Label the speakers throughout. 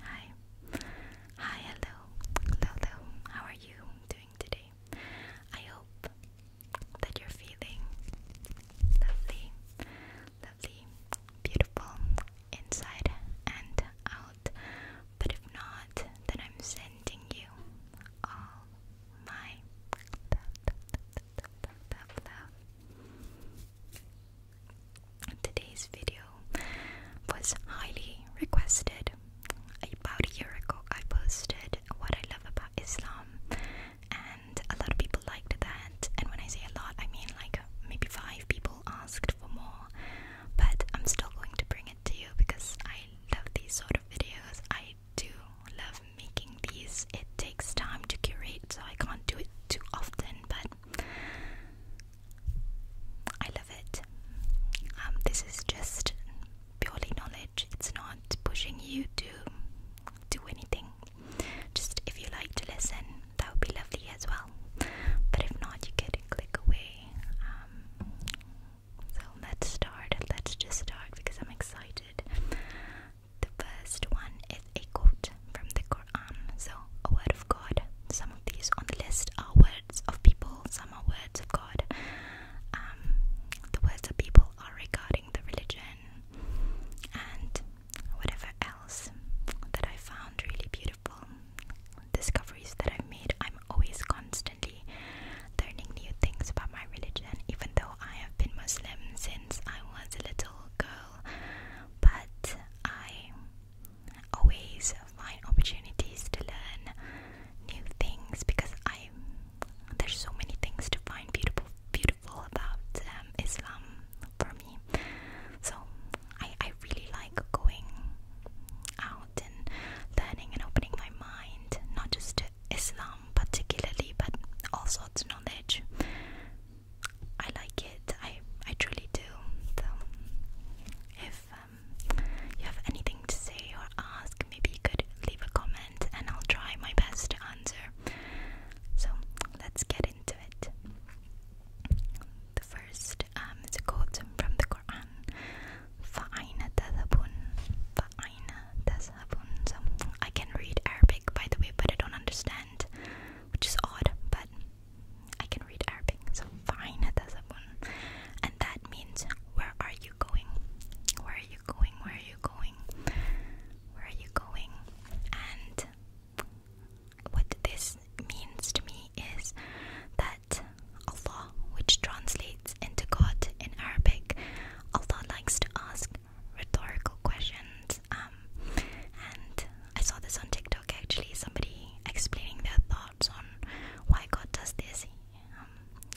Speaker 1: Hi. Hi, hello. Hello, How are you doing today? I hope that you're feeling lovely, lovely, beautiful inside and out. But if not, then I'm sending you all my love. Today's video was highly requested. About a year ago, I posted what I love about Islam, and a lot of people liked that. And when I say a lot, I mean like maybe five people asked for more, but I'm still going to bring it to you because I love these sort of videos. I do love making these, it takes time to curate, so I can't do it too often, but I love it. Um, this is just purely knowledge. It's not pushing you to do anything. Just if you like to listen, that would be lovely as well. But if not, you could click away. Um, so let's start. Let's just start because I'm excited. The first one a quote from the Quran. So, a word of God. Some of these on the list are words of people, some are words of God. Um, the words of people are regarding the religion and whatever else that I found really beautiful. Discoveries that I've made. I'm always constantly learning new things about my religion, even though I have been Muslim since I was a little girl. But I always find opportunities to learn new things because I there's so many things to find beautiful beautiful about um, Islam for me. So I I really like going out and learning and opening my mind not just to Islam particularly but all sorts of knowledge I like it. I I truly do. So if um, you have anything to say or ask, maybe you could leave a comment and I'll try my best to answer. So let's get into it. The first um, is a quote from the Quran. فَأَيْنَ تَذْهَبُونَ فَأَيْنَ تَذْهَبُونَ So I can read Arabic by the way, but I don't understand which is odd, but I can read Arabic, so fine. And that means, where are you going? Where are you going? Where are you going? Where are you going? And what this means to me is that Allah, which translates into God in Arabic, Allah likes to ask rhetorical questions. Um, and I saw this on TikTok actually, somebody explaining their thoughts on why God does this. Um,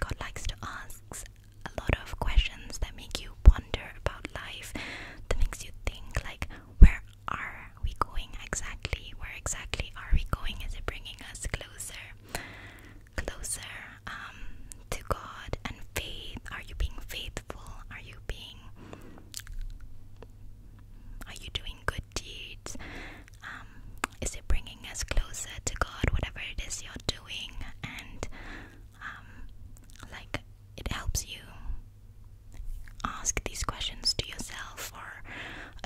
Speaker 1: God likes to ask a lot of questions that make you ponder about life, that makes you think like, where are we going exactly? Where exactly are we going? Is it bringing us closer, closer um, to God and faith? Are you being faithful? Are you being are you doing good deeds? Um, is it bringing us closer to God? Whatever it is you're doing, and um, like it helps you ask these questions to yourself for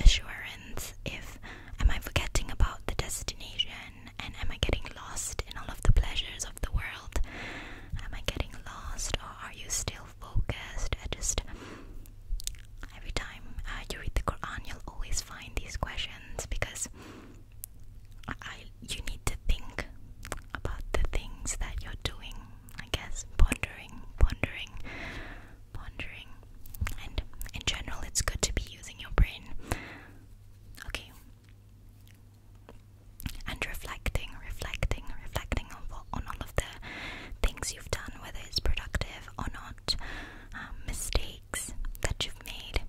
Speaker 1: assurance. If am I forgetting about the destination, and am I getting lost in all of the pleasures of the world? Am I getting lost or are you still focused? I just every time uh, you read the Quran, you'll always find these questions because I you need to think about the things that you're doing. I guess pondering, pondering, pondering, and in general, it's good to be using your brain. Okay, and reflecting, reflecting, reflecting on all of the things you've done, whether it's productive or not, um, mistakes that you've made.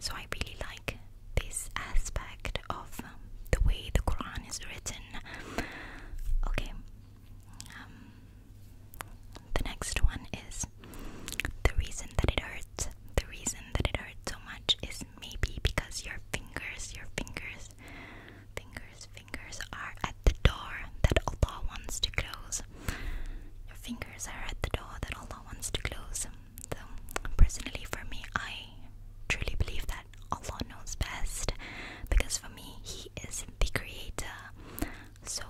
Speaker 1: So I really like this aspect of um, the way the Quran is written. Okay, um, the next one is the reason that it hurts. The reason that it hurts so much is maybe because your fingers, your fingers, fingers, fingers are at the door that Allah wants to close. Your fingers are at the door that Allah wants to close. So, personally, for me, I truly believe that Allah knows best because for me, He is the creator. So,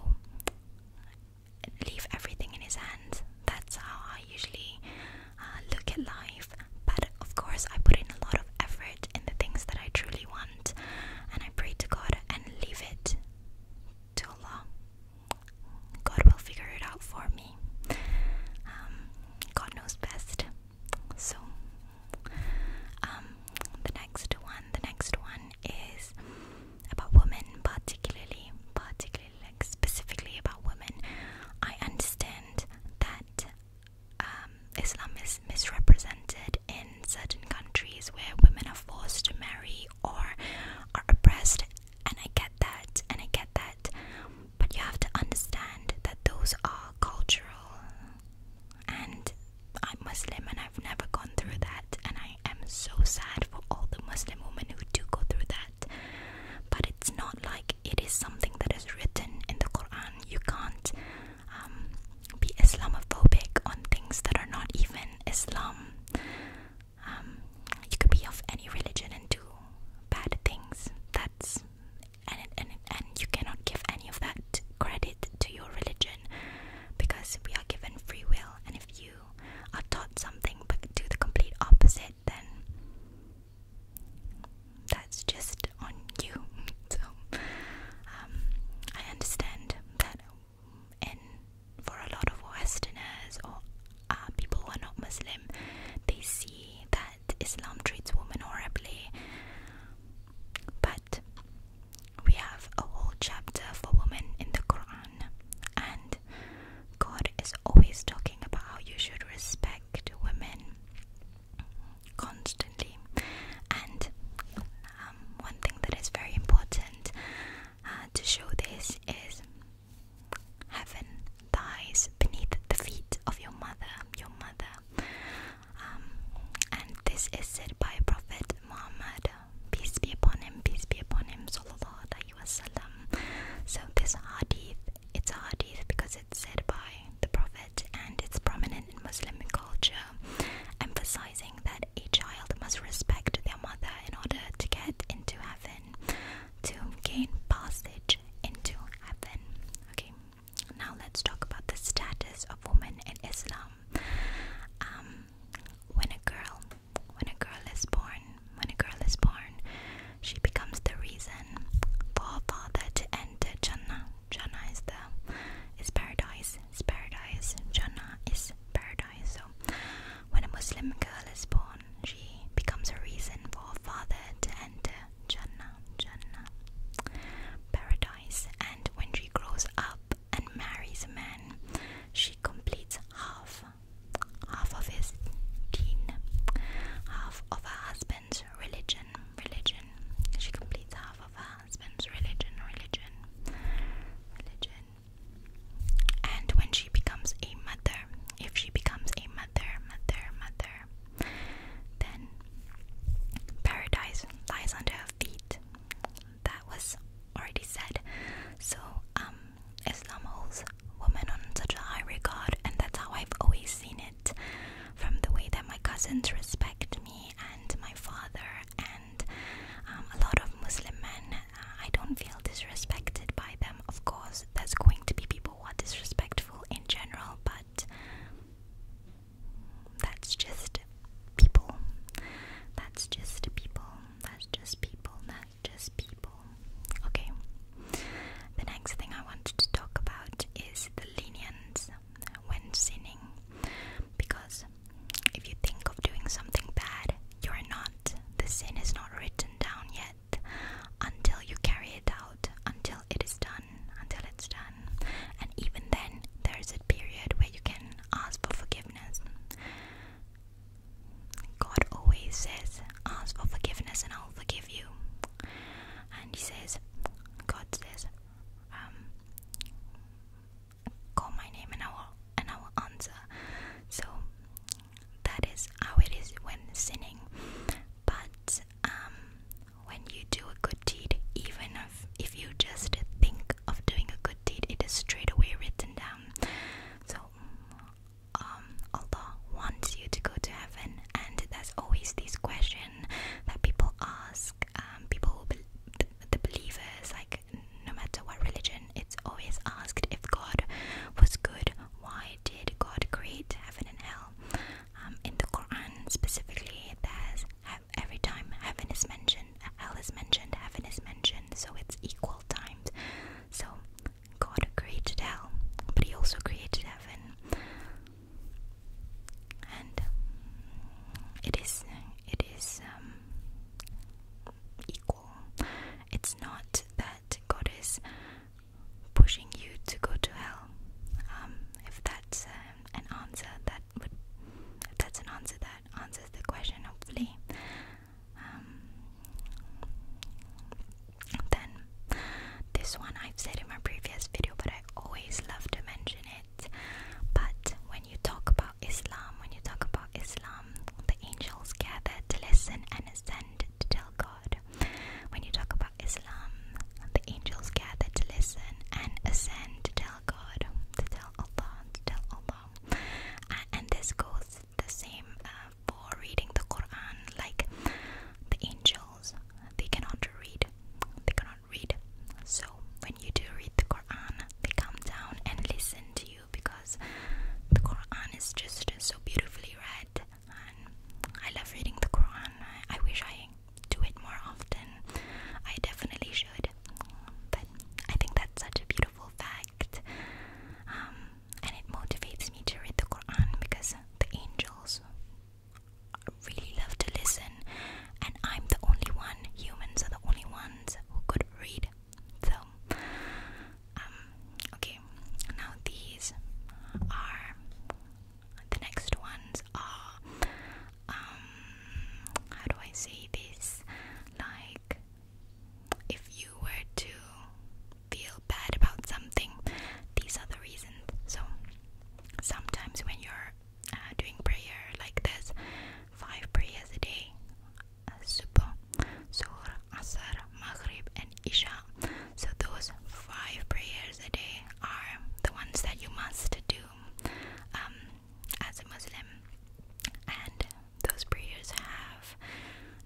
Speaker 1: leave everything in His hands. That's how I usually uh, look at life. But of course, I put in a lot of effort in the things that I truly want, and I pray to God and leave it to Allah. God will figure it out for me. Um, God knows best. So, um, the next one, the next one is about women, particularly, particularly specifically about women, I understand that um, Islam is misrepresented in certain countries where women are forced to marry or are oppressed, and I get that, and I get that, but you have to understand that those are cultural, and I'm Muslim and I've never gone through that, and I am so sad for all the Muslim women who do go through that. But it's not like it is something that is written in the Quran. You can't um, be Islamophobic on things that are not even Islam. Um, you could be of any religion and do bad things. That's and and and you cannot give any of that credit to your religion because we are given free will. And if you are taught something but do the complete opposite, then that's just on you. So um, I understand that, and for a lot of Westerners or uh, people who are not Muslim, they see that Islam treats women horribly. But we have a whole chapter for women in the Quran, and God is always talking about how you should respect women constantly. And um, one thing that is very important uh, to show this is heaven lies beneath the feet of your mother, your mother. Um, and this is said by Prophet Muhammad, peace be upon him, peace be upon him, sallallahu wasallam. So this hadith, it's a hadith because it's said by the Prophet and it's prominent in Muslim culture, emphasizing that a child must respect their mother in order to get into heaven, to gain passage into heaven. Okay, now let's talk about the status of women in Islam. Um, when a girl when a girl is born, when a girl is born, she becomes the reason for a father to enter Jannah. Jannah is the is paradise. paradise. Jannah is paradise. So when a Muslim girl is born, she becomes a reason for a father to enter Jannah. Jannah. Paradise. And when she grows up and marries a man, she completes half half of his teen, half of her husband's religion, religion. She completes half of her husband's religion, religion, religion. And when she becomes a mother, if she becomes a mother, mother, mother, then paradise lies under her feet. That was already said. So, um, Islam holds women on such a high regard, and that's how I've always seen it from the way that my cousins respect me and my father, and um, a lot of Muslim men. Uh, I don't feel disrespected by them. Of course, there's going to be people who are disrespectful in general, but that's just people. That's just people. That's just people. That just people. Okay. The next thing I wanted to talk about is the lenience when sinning. Because if you think of doing something bad, you're not. The sin is not written down yet until you carry it out, until it is done, until it's done. And even then, there is a period where you can ask for forgiveness. God always says, Ask for forgiveness and I'll forgive you. And He says, God says, um, Call my name and I will, and I will answer. So that is how it is when sinning. But um, when you do a good deed, even if, if you just think of doing a good deed, it is straight away written down. So mm, um, Allah wants you to go to heaven, and there's always this question that people ask. Um, people, be the, believers, like no matter what religion, it's always asked if God was good, why did God create heaven and hell? Um, in the Quran specifically, it there's every time heaven is mentioned, hell is mentioned, heaven is mentioned, so it's equal times. So God created hell, but He also created heaven, and um, it is it is um, equal. It's not that God is pushing you to go to hell. Um, if that's uh, an answer, that would if that's an answer that answers the question. Hopefully, um, then this one I've said in my previous video, but I always love to mention it. But when you talk about Islam, when you talk about Islam, the angels gather to listen and ascend to tell God. When you talk about Islam, the angels gather to listen and ascend to tell God, to tell Allah, to tell Allah. And this goes the same uh, for reading the Quran. Like the angels, they cannot read. They cannot read. So when you do read the Quran, they come down and listen to you because the Quran is just so beautifully read. I love reading the Quran. I, I wish I do it more often. I definitely should. I think that's such a beautiful fact. Um, and it motivates me to read the Quran because the angels really love to listen, and I'm the only one, humans are the only ones who could read. So, um, okay, now these are the next ones um how do I say this? Like if you were to feel bad about something, these are the reasons. So sometimes when you're uh, doing prayer like this, five prayers a day, Subh, Zuhr, Asr, Maghrib, and Isha. So those five prayers a day are the ones that you must do. Um, as a Muslim, and those prayers have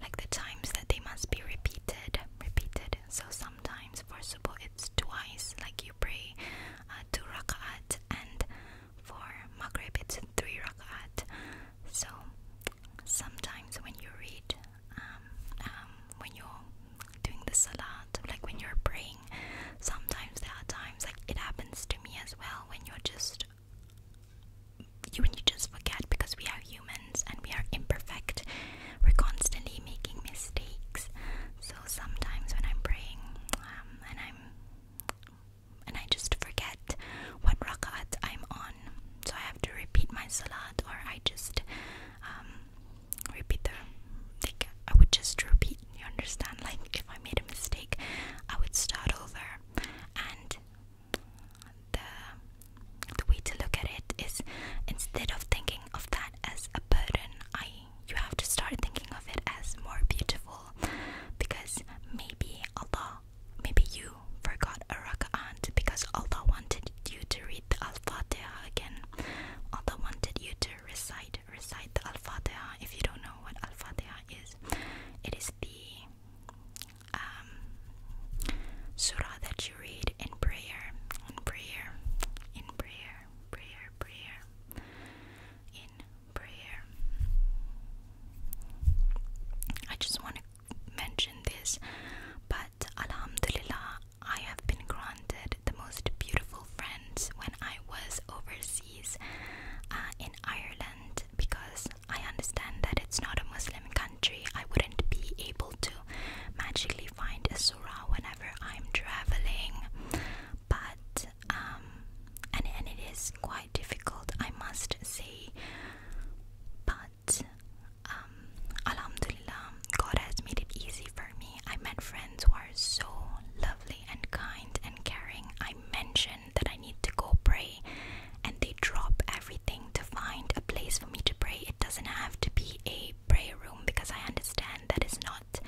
Speaker 1: like the times that they must be repeated, repeated. So sometimes for subuh it's twice, like you pray uh, two rak'at, and for maghrib it's three rak'at. So sometimes when you read, um, um, when you're doing the salat, like when you're praying, sometimes there are times it happens to me as well when you're just you and you just forget because we are humans and we are imperfect. We're constantly making mistakes. So sometimes when I'm praying um, and I'm and I just forget what rakat I'm on, so I have to repeat my salat, or I just um, repeat the. Like I would just repeat you understand? Like, if I made a mistake, I would start over. And the the way to look at it is instead of thinking of that as a burden, I you have to start thinking of it as more beautiful. Because maybe Allah, maybe you forgot a raka'at because Allah wanted you to read the Al Fatiha again. Allah wanted you to recite recite the Al If you don't know what Al is, it is the um, surah that you read in prayer, in prayer, in prayer, prayer, prayer, in prayer. I just want to mention this, but Alhamdulillah, I have been granted the most beautiful friends when I was overseas policies uh, in Ireland because I understand that it's not a Muslim country. I wouldn't be able to magically find a surah whenever I'm traveling, but um, and and it is quite difficult, I must say. But um, Alhamdulillah, God has made it easy for me. I met friends who are so lovely and kind and caring, I mentioned that I need to go pray, and they drop everything to find a place for me to pray. It doesn't have to be a prayer room because I understand that is not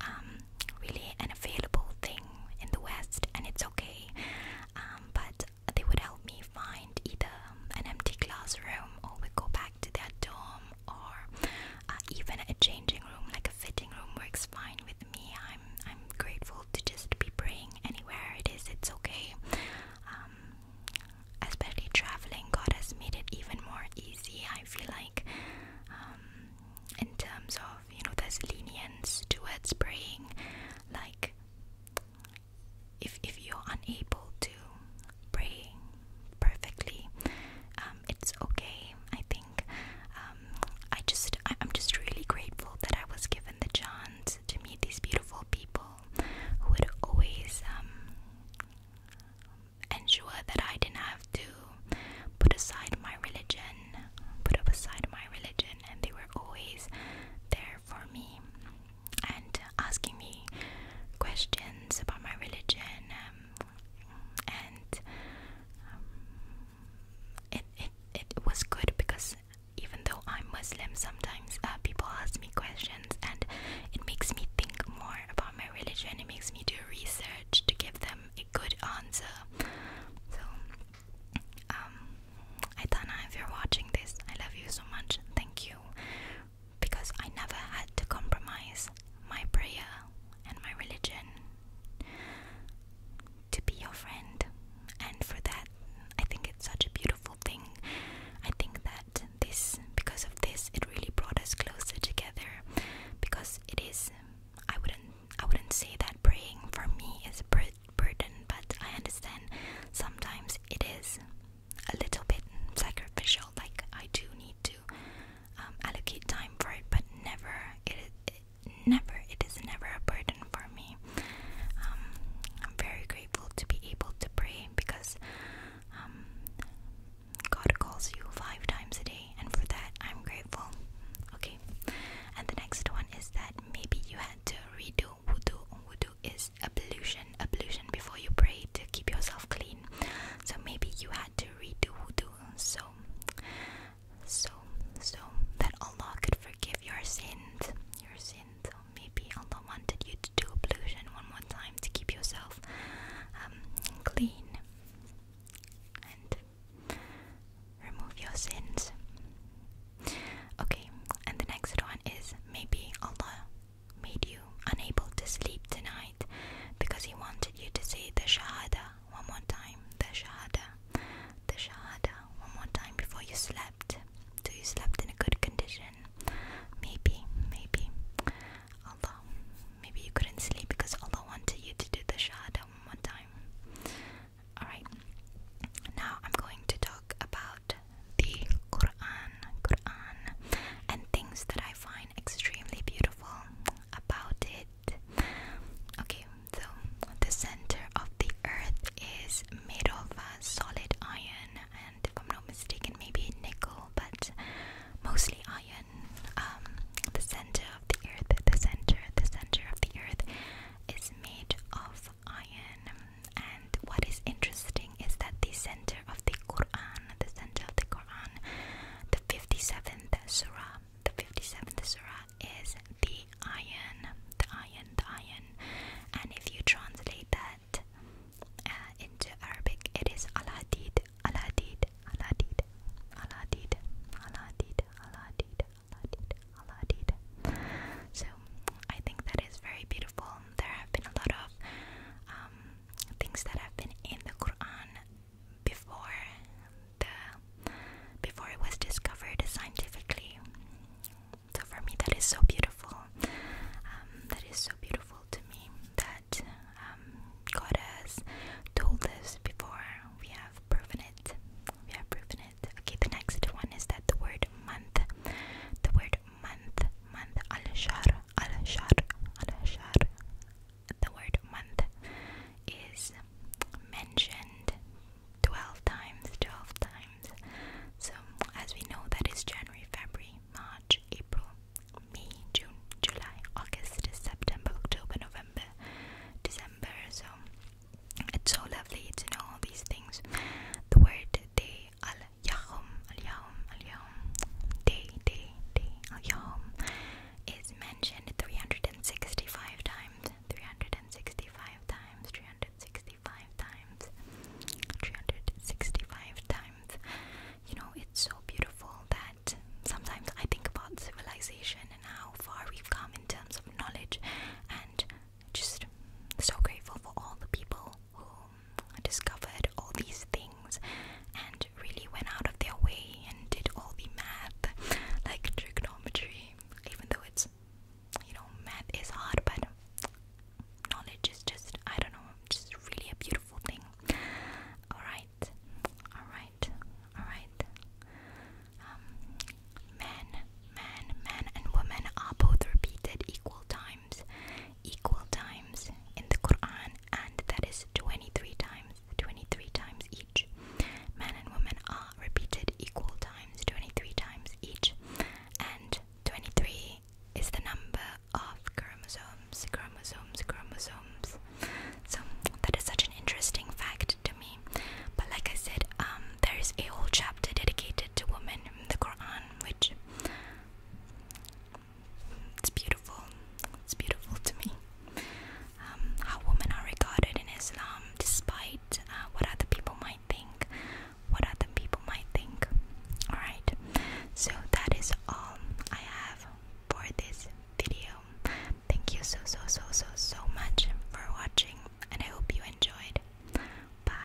Speaker 1: um, really an available thing in the West, and it's okay. Um, but they would help me find either an empty classroom or we go back to their dorm or uh, even a changing room, like a fitting room, works fine with me. I'm I'm grateful to just be praying anywhere it is. It's okay. Um, especially traveling, God has made it even more easy. I feel like, um, in terms of you know, there's lenience towards praying, like. If if you're unable to pray perfectly. Um, it's okay, I think. Um, I just, I, I'm just really grateful that I was given the chance to meet these beautiful people who would always um, ensure that I didn't have to put aside my religion, put up aside my religion, and they were always there for me and asking me questions about my religion. Um, and um, it, it it was good because even though I'm Muslim, sometimes uh, people ask me questions, and it makes me think more about my religion. It makes me do research to give them a good answer. So, um, Aitana, if you're watching this, I love you so much. Thank you because I never had to compromise my prayer and my religion to be your friend. And for that, I think it's such a beautiful thing. I think that this, because of this, it really brought us closer together. Because it is, I wouldn't, I wouldn't say that praying for me is a burden, but I understand sometimes it is a little bit sacrificial. Like I do need to um, allocate time for it, but never it, never it is never a burden for me. Um, I'm very grateful to be able to pray because um, God calls you five times a day, and for that I'm grateful. Okay, and the next one is that maybe you had to redo wudu. Wudu is ablution, an ablution before you pray to keep yourself clean. So maybe you had to redo wudu so so so that Allah could forgive your sins. Your sins. So maybe Allah wanted you to do ablution one more time to keep yourself um, clean and remove your sins. Okay, and the next one is maybe Allah made you unable to sleep tonight because he wanted you to say the Shahada one more time. The Shahada, the Shahada one more time before you slept. So you slept in a good condition. Maybe, maybe Allah, maybe you couldn't sleep because Allah wanted you to do the Shahada one time. Alright, now I'm going to talk about the Quran, Quran, and things that I find extremely beautiful about it. Okay, so the center of the earth is made of uh, solid iron, and if I'm not mistaken, maybe nickel, but mostly iron. Um, the center of the earth, the center, the center of the earth is made of iron. And what is interesting thing is that the center of the Quran, the center of the Quran, the 57th surah, the 57th surah is the iron, the iron, the iron. And if you translate that uh, into Arabic, it is Al Hadid, Al Hadid, Al Hadid, Al Hadid, Al Hadid, Al Hadid, Al Hadid, Al Hadid. So I think that is very beautiful. There have been a lot of um, things that have been in the Quran before the before it was discovered scientifically. So for me, that is so beautiful. Um, that is so beautiful to me that um, God has told us before. We have proven it. We have proven it. Okay, the next one is that the word month, the word month, month, al-shahr, al-shahr, al-shahr. The word month is mentioned 12 times, 12 times. So, as we know, that is January, February, March, April, May, June, July, August, September, October, November, December. So, it's so lovely to know all these things. The word day, al Yahum al-Yahum day day day al is mentioned 365 times 365 times 365 times 365 times you know it's so beautiful that sometimes I think about civilization and how far we've come in terms of knowledge and just so grateful for all the people who um, discovered all these things and really went out of their way and did all the math, like trigonometry, even though it's, you know, math is hard, but knowledge is just, I don't know, just really a beautiful thing. Alright, alright, alright. men, um, men, men, and women are both repeated equal time equal times in the Quran, and that is 23 times, 23 times each. Men and women are repeated equal times, 23 times each, and 23 is the number of chromosomes, chromosomes, chromosomes. So that is such an interesting fact to me. But like I said, um, there is a whole chapter dedicated to women in the Quran, which it's beautiful. It's beautiful to me. Um, how women are regarded in Islam, despite uh, what other people might think. What other people might think. Alright, so that is all I have for this video. Thank you so, so, so, so, so much for watching, and I hope you enjoyed. Bye.